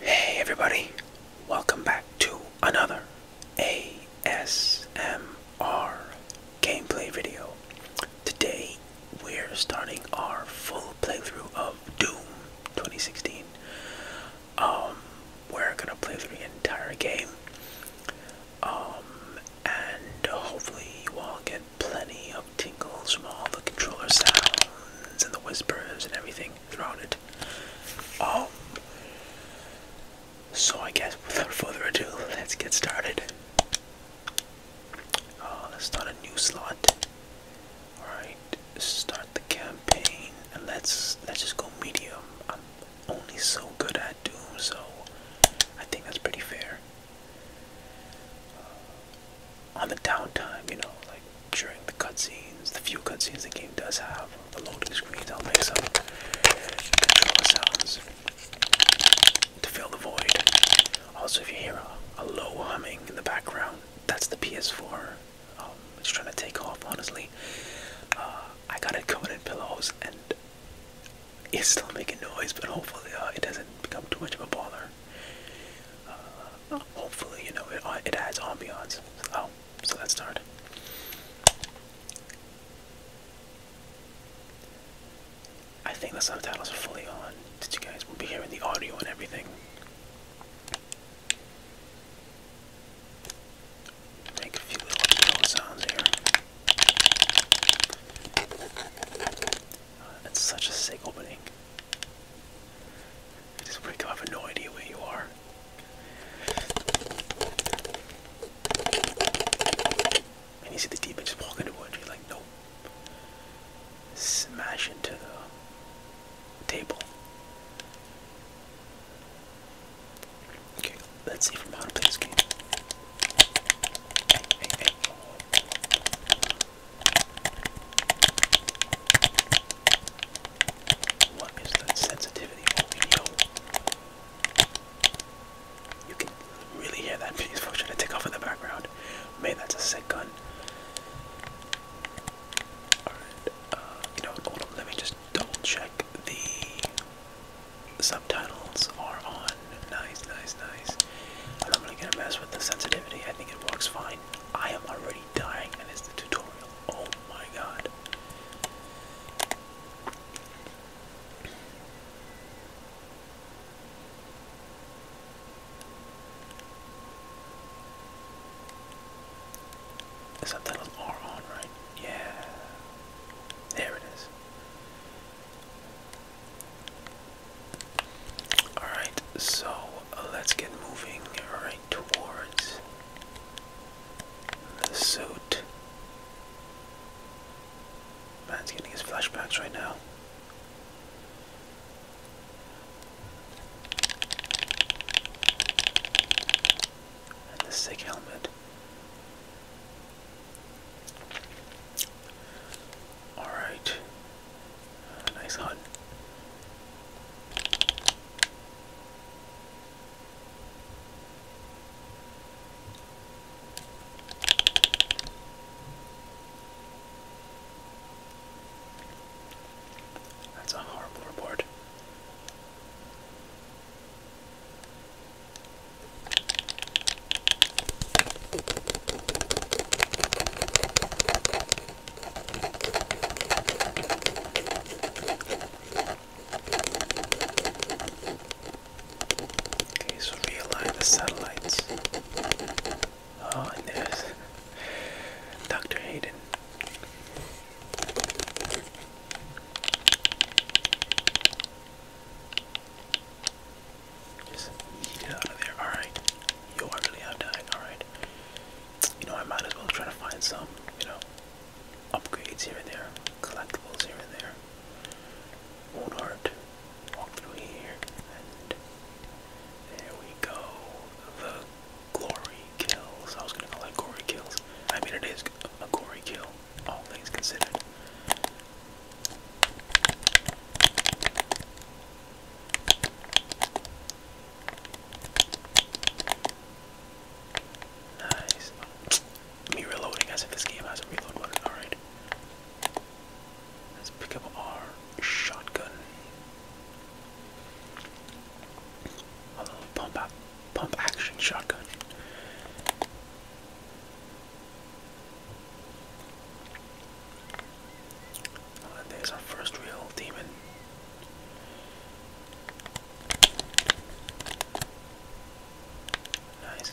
Hey everybody, welcome back to another ASMR gameplay video. Today we're starting our full playthrough of Doom 2016. Um, we're gonna play through the entire game. Um, and hopefully you all get plenty of of tingles from all the controller sounds and the whispers and everything throughout it. Oh, so I guess without further ado, let's get started. Oh, let's start a new slot. Alright, start the campaign and let's let's just go medium. I'm only so good at Doom, so I think that's pretty fair on the downtime, you know, like during the cutscenes, the few cutscenes the game does have, the loading screens, I'll make some controller sounds to fill the void. Also, if you hear a, low humming in the background, that's the PS4. Um, it's trying to take off, honestly. Uh, I got it covered in pillows and it's still making noise, but hopefully uh, it doesn't become too much of a bother hopefully, you know, it, it adds ambiance. Oh, so let's start. I think the subtitles are fully on. Did you guys we will be hearing the audio and everything? Make a few little sounds here. it's uh, such a sick opening. I just wake up, I have no idea where you are. And you see the demon just walk into wood, you're like, nope. Smash into the table. Okay, let's see from how to play this game. What is that sensitivity you? can really hear that piece for trying to take off in the background. Man, that's a sick gun. Alright, uh, you know, hold let me just double check the subtitles are on. Nice, nice, nice. I'm not gonna mess with the sensitivity. I think it works fine. I am already dying and it's the tutorial. Oh my god. The subtitles are on, right? Yeah. There it is. Alright, so uh, let's get moving right towards the suit. Man's getting his flashbacks right now. And the sick helmet. Alright. Nice hunt. That's a horrible report. Okay, so realign the satellites. Oh, there's Dr. Hayden. Just get out of there. Alright. Yo, I really have died. Alright. You know, I might as well try to find some, you know, upgrades here and there, collectibles here and there. will Walk through here, and there we go. The glory kills. I was gonna call it glory kills. I mean, it is a glory kill, all things considered. Nice. Me reloading as if this game has a reload button. Alright. Let's pick up our shotgun. A pump action shotgun. And there's our first real demon. Nice.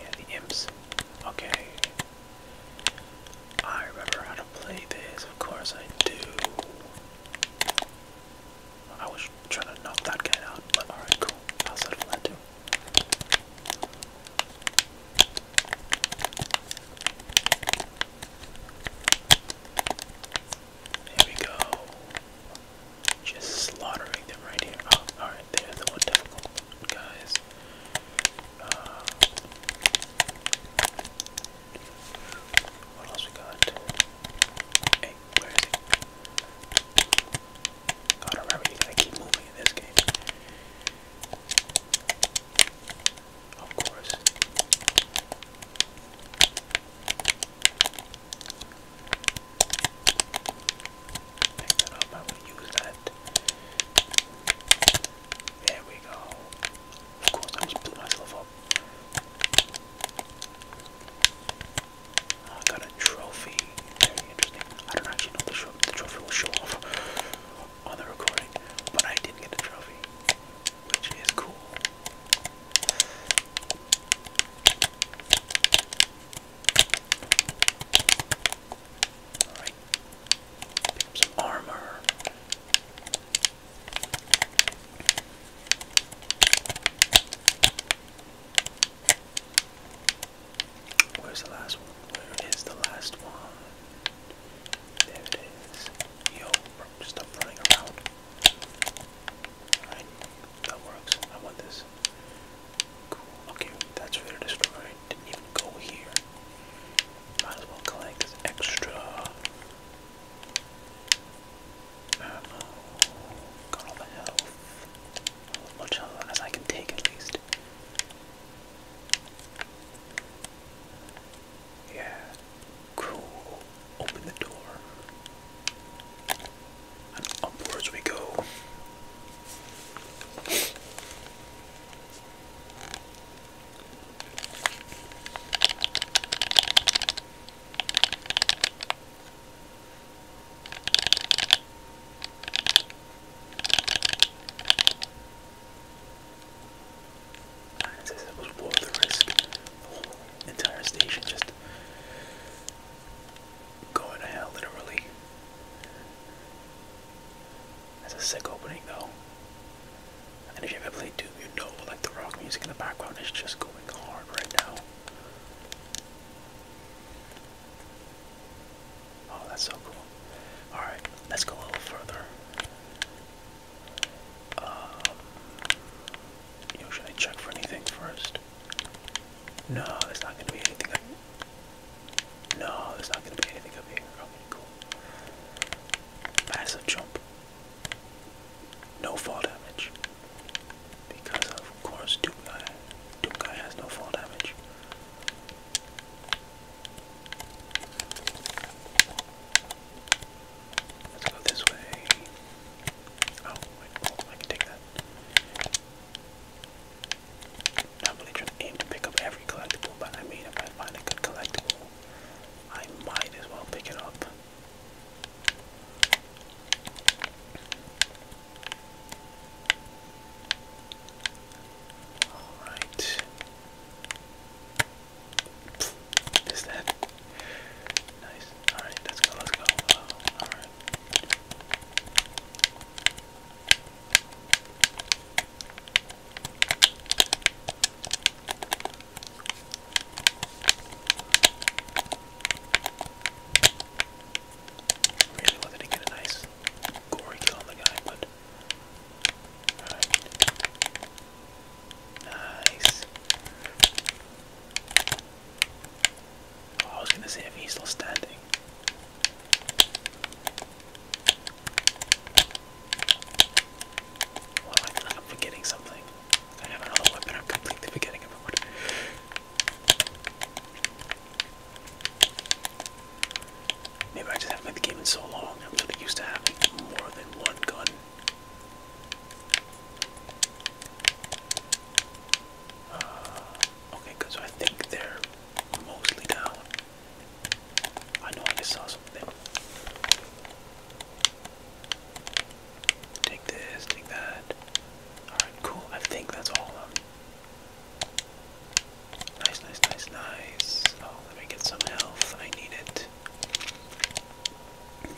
Yeah, the imps. Okay. I remember how to play this, of course I do. I was trying to knock that guy out, but alright, cool. I'll settle that too. There we go. Just slaughtering them right here. Oh, alright, there's the one difficult one, guys. Uh, what else we got? Hey, where is it? God, remember, you gotta keep moving in this game. Of course. Pick that up. I will use that. There we go. Of course, I just blew myself up. I got a trophy. Very interesting. I don't actually know the, the trophy will show off on the recording, but I did get a trophy, which is cool. Alright. some armor. Where's the last one? Where is the last one? There it is. Yo, bro, stop running around. Alright, that works. I want this. Cool. Okay, that's Raider Destroyer. Didn't even go here. Might as well collect extra. Ammo. Got all the health. much health I can take, at least. Yeah. Cool. Open the door. upwards we go. As I it was worth the risk. The whole entire station just going to hell, literally. That's a sick opening, though. And if you ever played Doom, you know, like the rock music in the background is just going hard right now. Oh, that's so cool. Alright, let's go a little further. Um, should I check for anything first? No, there's not going to be anything up No, there's not going to be anything up here. Okay, cool. Massive jump. No fall damage. Because of course Doom Guy. Doom Guy has no fall damage. Let's go this way. Oh, wait, oh, I can take that. I'm really trying to aim to pick up every collectible, but I mean, if I find a good collectible, I might as well pick it up. All right. What is that? Nice. All right, let's go. Let's go. all right. Really wanted to get a nice gory kill on the guy, but. Nice. Oh, I was gonna say if he's still standing. Well, I i forgetting something. I have another weapon, I'm completely forgetting about Maybe I just haven't played the game in so long. I'm really used to having more than one gun. Uh, okay, good. I think they're mostly down. I know I just saw something. Take this, take that. Alright, cool. I think that's all of them. Nice, nice, nice, nice. Oh, let me get some health. I need it.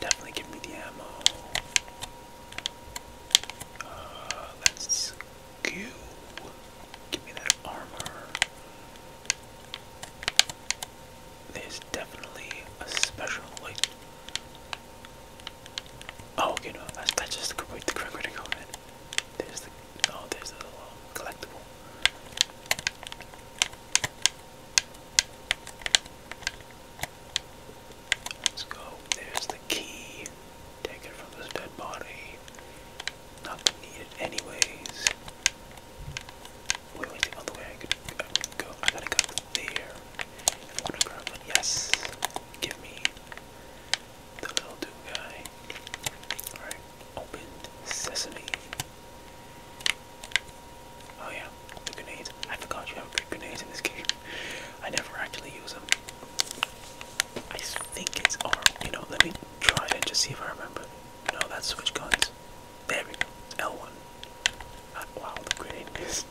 Definitely give me the ammo. Uh, let's go. Give me that armor. There's definitely a special, like. Oh, okay, no, that's, that's just to correct way to go, man. There's the oh, there's the collectible. Let's go. There's the key. Take it from this dead body. Not going anyways. Wait, wait, the I could, go. I gotta go there. yes. Give me the little dude guy. Alright, open sesame. Oh yeah, the grenades. I forgot you have grenades in this game. I never actually use them. I think it's R. You know, let me try it just see if I remember. No, that's switch guns. There we go. L1. Uh, ah, wow, the grenade is.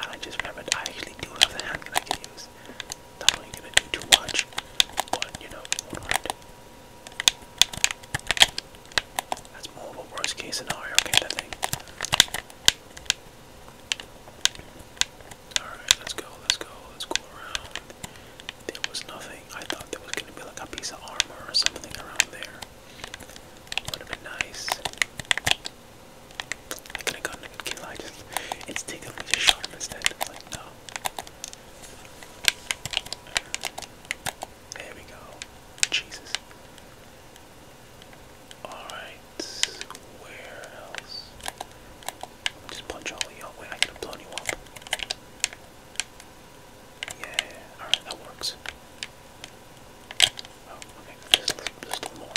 I just remembered I actually do have the hand handgun I can use. Not really gonna do too much, but you know, That's more of a worst case scenario kind of thing. Alright, let's go, let's go, let's go around. There was nothing. I thought there was gonna be like a piece of armor or something around there. Would have been nice. I could have gotten a good kill. I just instinctively just shot him instead. Like no. There we go. Jesus. Alright, where else? just punch all of y'all. Wait, I can have blown you up. Yeah, alright, that works. Oh, okay, just, just a little more.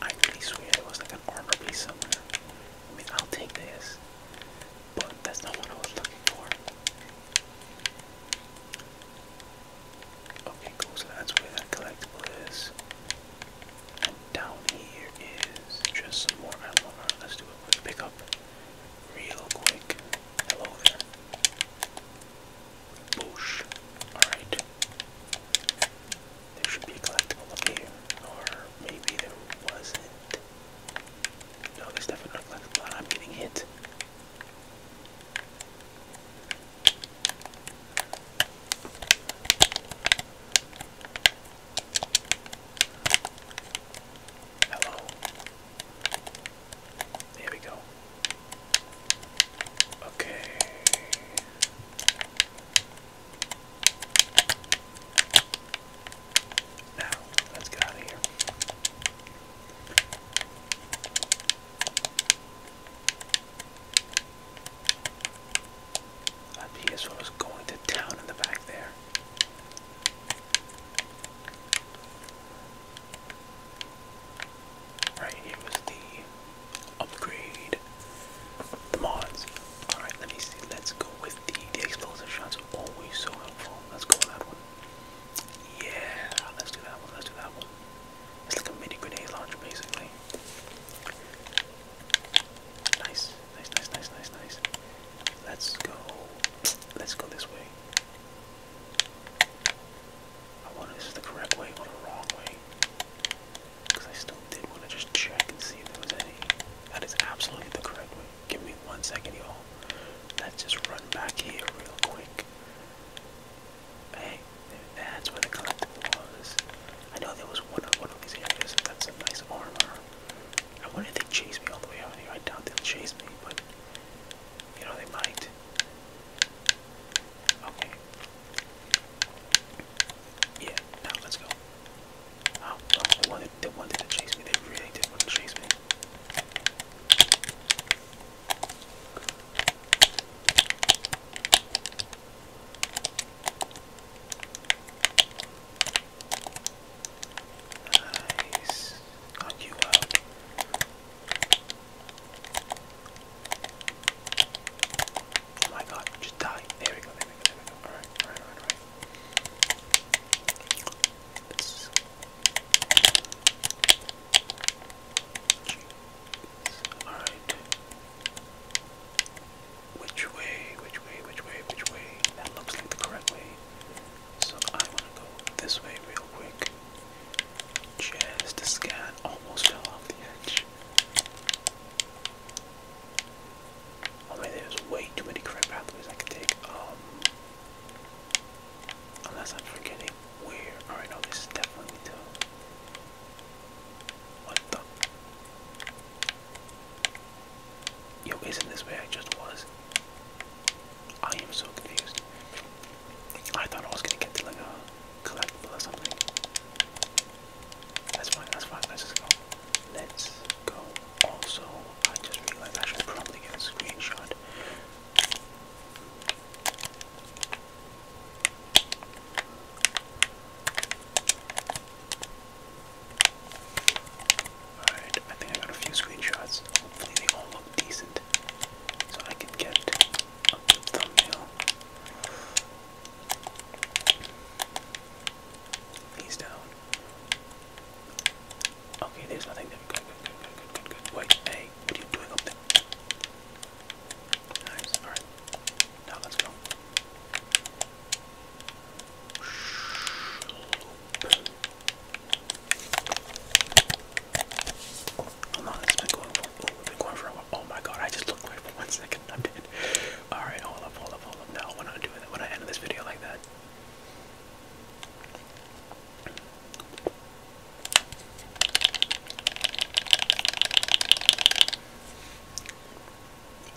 I really swear there was like an armor piece somewhere. I mean, I'll take this, but that's not what I was looking for. Okay, cool. So that's where that collectible is. And down here is just some more armor. Let's do it pick up real quick. Hello Boosh. Alright. There should be a collectible up here. Or maybe there wasn't. No, there's definitely a collectible. I'm getting hit. Hello. There we go. Okay. Now, let's get out of here. Uh, PS1 was going to town in the back there. Alright, here the upgrade. The mods. Alright, let me see. Let's go with the, explosive shots. always so helpful. Let's go with that one. Yeah, let's do that one. Let's do that one. It's like a mini grenade launcher, basically. Nice, nice, nice, nice, nice, nice. Let's go. Let's go this way. I wonder if this is the correct way or the wrong way. Because I still did want to just check and see if there was any. That is absolutely the correct way. Give me one second, y'all. Let's just run back here real quick. Hey, that's where the collectible was. I know there was one of one of these areas. That's some nice armor. I wonder if they chase me all the way out here. I doubt they'll chase me, but you know they might. Okay. Yeah, now let's go. Oh, they wanted, they wanted to chase me. They really did want to chase me. Nice. Got you out. Uh, oh my god, just die. There we go, there we go, there we go. Alright, alright, alright, alright. let Alright which way, which way, which way, which way. That looks like the correct way. So I want to go this way real quick. Just to scan. Almost fell off the edge. I oh, mean, there's way too many correct pathways I can take. Um, unless I'm forgetting where. Alright, no, this is definitely the. What the? Yo, isn't this where I just was? I am so confused. I thought I was gonna get to like a collectible or something. That's fine, that's fine, let's just go. Let's go. Also, I just realized I should probably get a screenshot. Alright, I think I got a few screenshots. Hopefully they all look decent. So I can get a good thumbnail. He's down. Okay, there's nothing there. Good, good, good, good, good, good, Wait, hey, what are you doing up there? alright. Now let's go. Hold on, it's been going for oh, we been going for a Oh my god, I just looked away for one second. I'm dead. Alright, hold up, hold up, hold up. No, we're not doing that. We're not this video like that.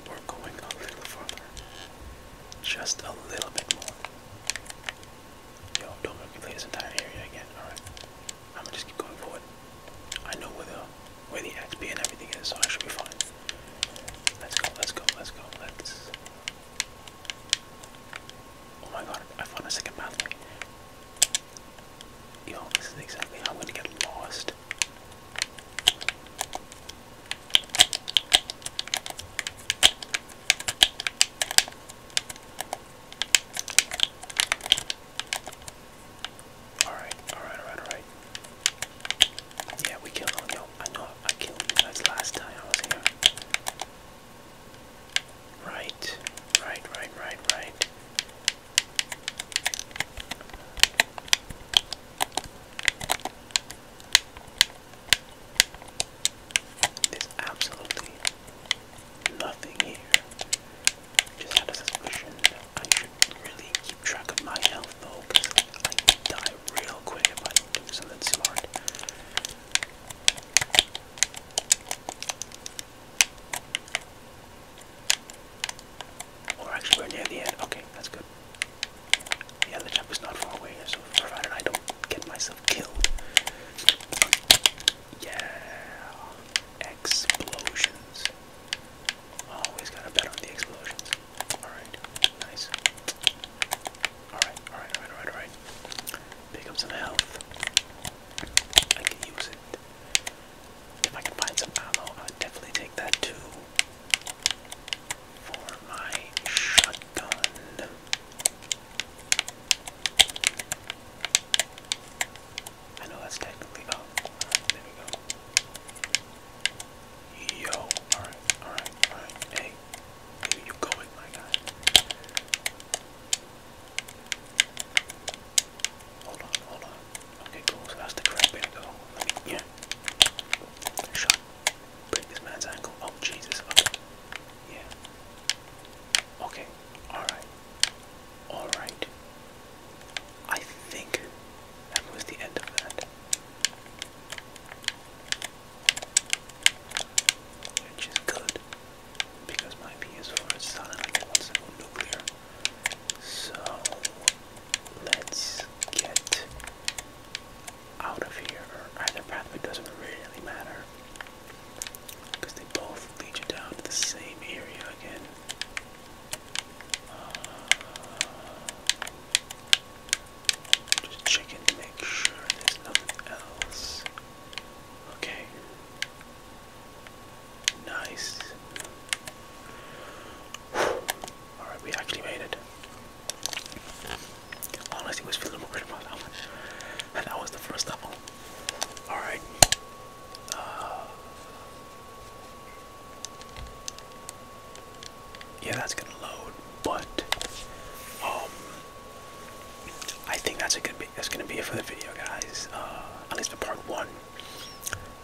We're going a little further. Just a little bit more. Yo, don't make me play this entire area again. Alright. I'm gonna just keep going forward. I know where the where the XP and everything is, so I should be fine. Let's go, let's go, let's go, let's Oh my god, I found a second path. Yo, this is exactly how I'm gonna get lost. Alright, alright, alright, alright. Yeah, we killed on you I know I killed you guys last time I was here. Right, right, right, right, right. There's absolutely nothing here. Just had a suspicion I should really keep track of my health though, because I die real quick if I don't do something smart. Or actually, we're near the end. Okay, that's good. Yeah, the jump is not far away, so provided I don't get myself killed. Yeah, explosions. Always gotta bet on the explosions. Alright, nice. Alright, alright, alright, alright, Pick up some health. I can use it. If I can find some ammo, I definitely take that too for my shotgun. I know that's technically oh, there we go. Yo, alright, alright, alright. Hey, here you go my guy. Hold on, hold on. Okay, cool. So that's the correct way Let me, yeah. Shot. this man's ankle. Oh, Jesus. Yeah. Okay. Alright. Alright. I think that was the end of that. Which is good. Because my PS4 is silent. I can once nuclear. So Let's get out of here, either pathway doesn't really matter. Because they both lead you down to the same area again. Uh, just checking to make sure there's nothing else. Okay. Nice. Alright, we actually made it. Honestly, was feeling good about that And that was the first level. Alright. Uh, yeah, that's gonna load, but um, I think that's a good. That's gonna be it for the video, guys. Uh, at least for part one.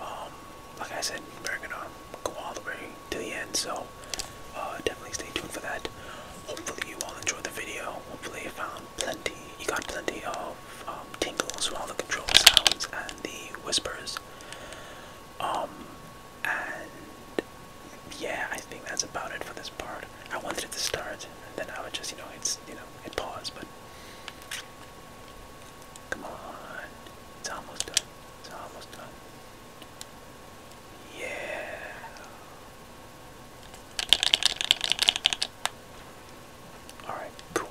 Um, like I said, we're gonna go all the way to the end, so uh, definitely stay tuned for that. Hopefully, you all enjoyed the video. Hopefully, you found plenty. You got plenty of um, tingles from all the control sounds and the whispers. Um, and yeah, I think that's about it for this part. I wanted it to start, and then I would just, you know, it's you know, it paused, but Come on. It's almost done. It's almost done. Yeah. Alright, cool.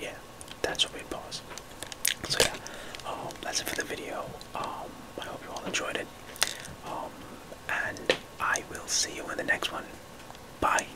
Yeah, that's what we pause. So yeah, um, that's it for the video. Um, I hope you all enjoyed it. Um, and I will see you in the next one. Bye.